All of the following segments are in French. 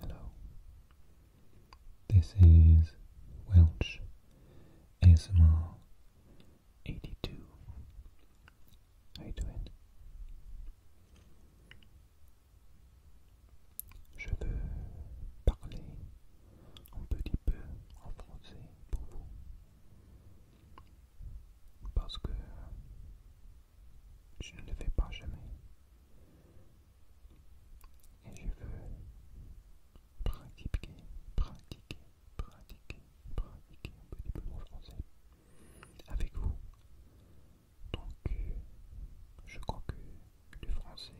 Hello, this is Welsh ASMR 82. How you doing? Je veux parler un petit peu en français pour vous. Parce que je ne le fais pas jamais. Et je veux pratiquer, pratiquer, pratiquer, pratiquer un petit peu mon français avec vous. Donc, je crois que le français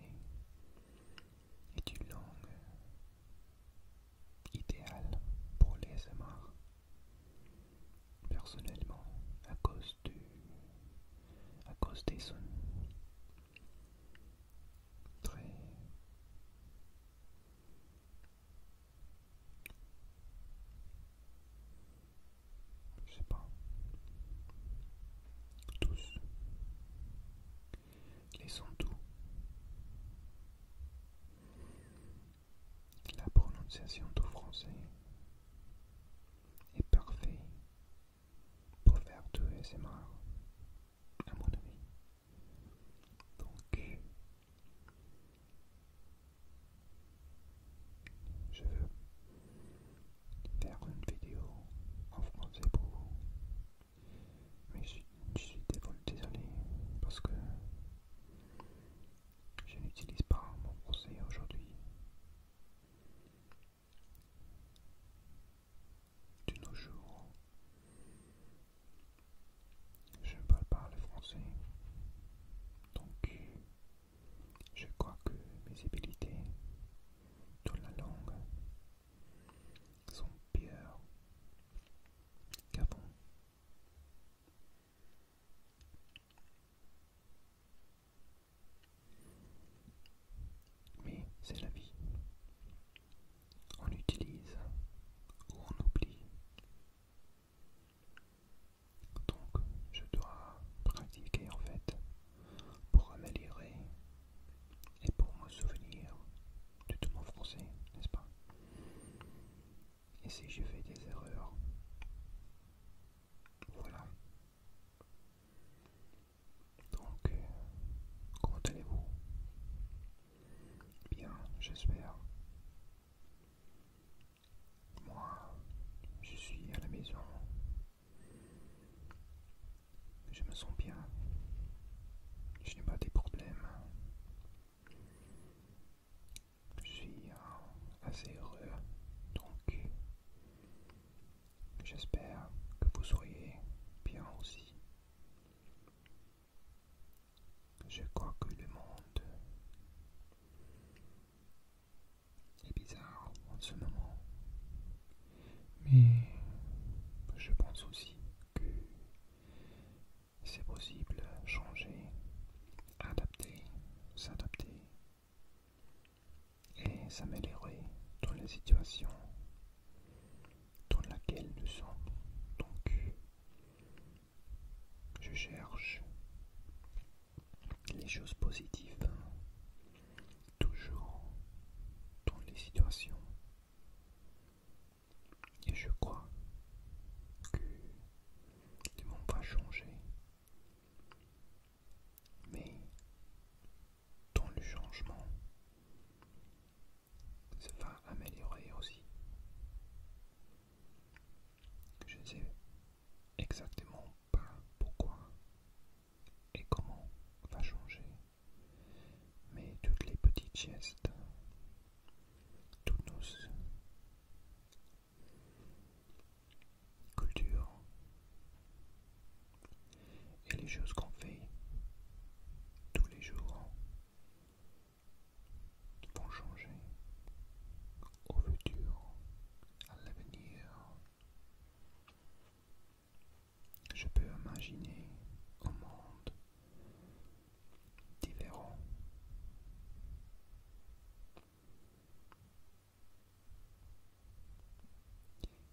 est une langue idéale pour les SMR personnellement à cause du à cause des sons très je sais pas tous les sons doux la prononciation du français est parfaite pour faire c'est SMR, à mon avis. Donc, je veux faire une vidéo en français pour vous. Mais je, je suis désolé parce que je n'utilise pas mon français aujourd'hui. De nos jours, je ne parle pas le français, donc je crois que mes habilités dans la langue sont pires qu'avant. Mais c'est la vie. On utilise ou on oublie. Donc je dois pratiquer en fait pour améliorer et pour me souvenir de tout mon français, n'est-ce pas et si je fais des erreurs. Voilà. Donc, euh, comment allez-vous Bien, j'espère. Moi, je suis à la maison. Je me sens bien. Je n'ai pas de problèmes. Je suis assez heureux, donc j'espère que vous soyez bien aussi. Je crois que le monde est bizarre en ce moment, mais je pense aussi que c'est possible, changer, adapter, s'adapter et s'améliorer dans les situations dans laquelle nous sommes. Donc, je cherche les choses positives hein, toujours dans les situations et je crois que le monde va changer. Mais dans le changement, ça va améliorer aussi. Je ne sais exactement pas pourquoi et comment va changer. Mais toutes les petites gestes, toutes nos culture et les choses qu'on fait tous les jours vont changer au futur, à l'avenir. Je peux imaginer un monde différents.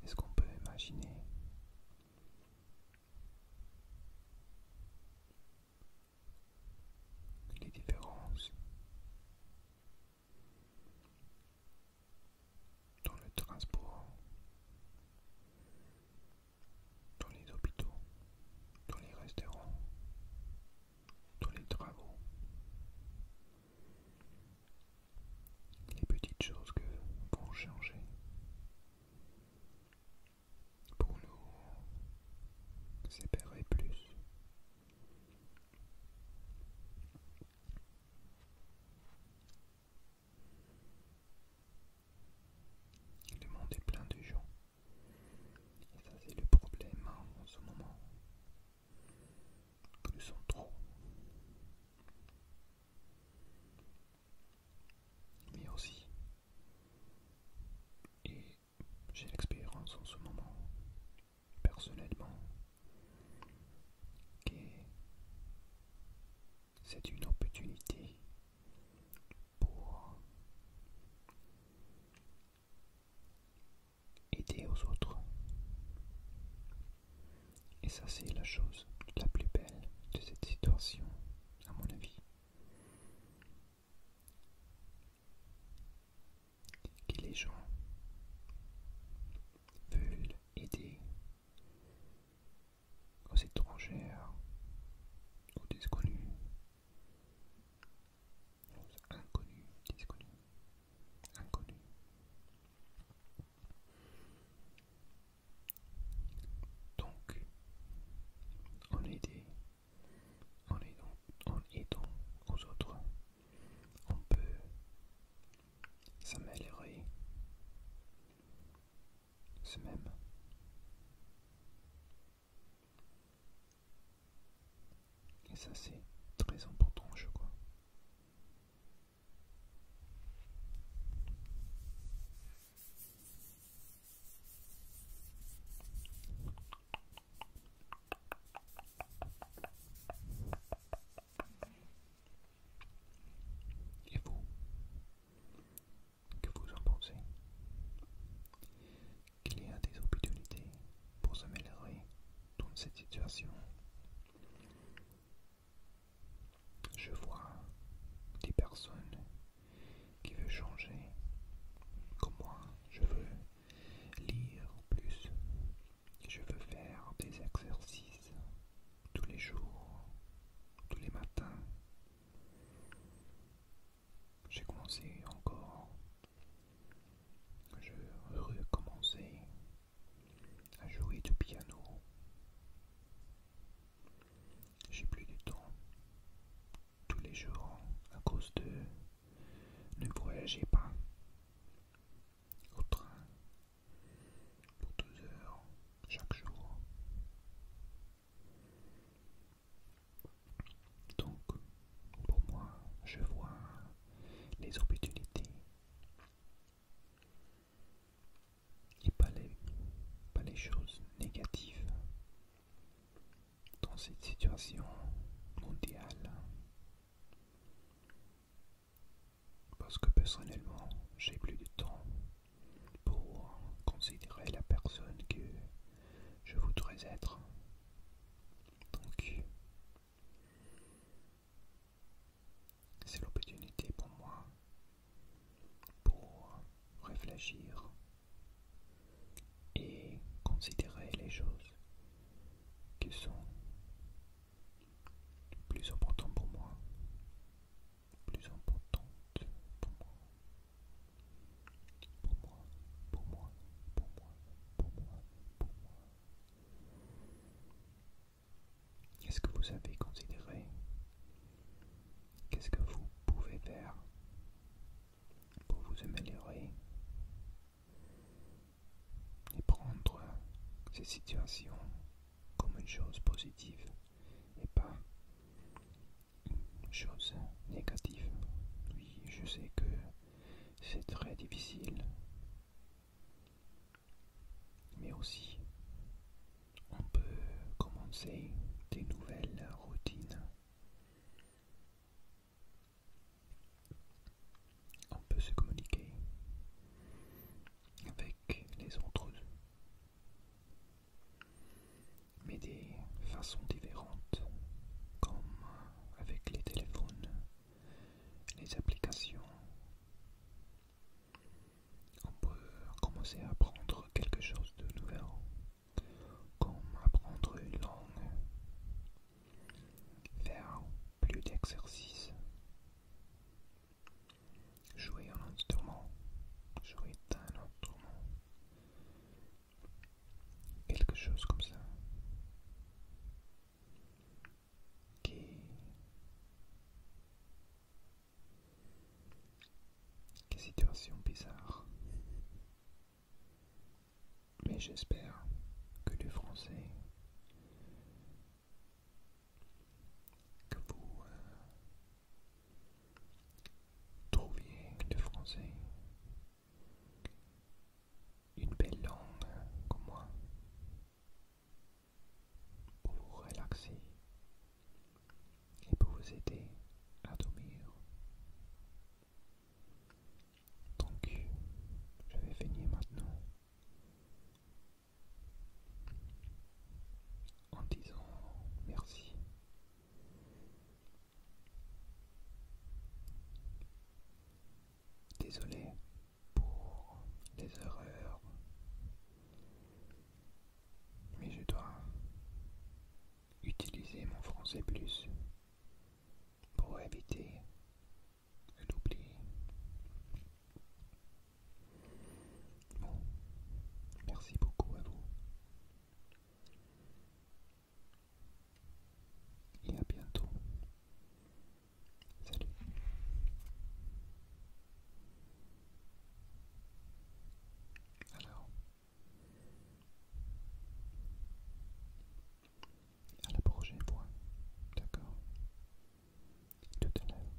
Est-ce qu'on peut imaginer les différences dans le transport dans les hôpitaux, dans les restaurants, dans les travaux. Les petites choses que vont changer pour nous séparer plus. Le monde plein de gens et ça c'est le problème hein, en ce moment. Plus sommes trop. Mais aussi, et j'ai l'expérience en ce moment, personnellement, que c'est une opportunité pour aider aux autres. Et ça c'est la chose la plus belle de cette situation, à mon avis. Que les gens veulent aider aux étrangères, aux desconnus, Inconnu, inconnu. Donc, en aider, en aidant, en aidant aux autres, on peut s'améliorer Ce même et ça c'est très important je crois. Et vous que vous en pensez, qu'il y a des opportunités pour s'améliorer dans cette situation. Je vois des personnes qui veulent changer, comme moi, je veux lire plus, je veux faire des exercices tous les jours, tous les matins j'ai commencé encore, je recommençais à jouer du piano. J'ai plus du temps tous les jours à cause de ne voyager pas au train pour deux heures chaque jour. Donc, pour moi, je vois les opportunités et pas les, choses négatives dans cette situation mondiale. Parce que personnellement, j'ai plus de temps pour considérer la personne que je voudrais être. Donc, c'est l'opportunité pour moi pour réfléchir et considérer les choses qui sont plus importantes pour moi plus importante pour moi. Pour moi, pour moi, pour moi, pour moi, Qu'est-ce que vous avez considéré Qu'est-ce que vous pouvez faire pour vous améliorer et prendre ces situations comme une chose positive et pas chose négative. Oui, je sais que c'est très difficile. Mais aussi, on peut commencer des nouvelles routines. On peut se communiquer avec les autres mais des façons différentes, comme avec les téléphones, les applications. On peut commencer à apprendre quelque chose de nouveau, comme apprendre une langue, faire plus d'exercices, jouer un instrument, jouer d'un instrument, Quelque chose comme ça qui une situation bizarre. Mais j'espère que le français que vous euh, Trouvez que le français. Une belle langue comme moi. Pour vous relaxer et pour vous aider à dormir. Donc, je vais venir maintenant en disant merci Désolé pour les erreurs, mais je dois utiliser mon français plus pour éviter l'oubli. Bon, merci beaucoup à vous et à bientôt. Salut. Alors, à la prochaine fois, d'accord Tout à l'heure.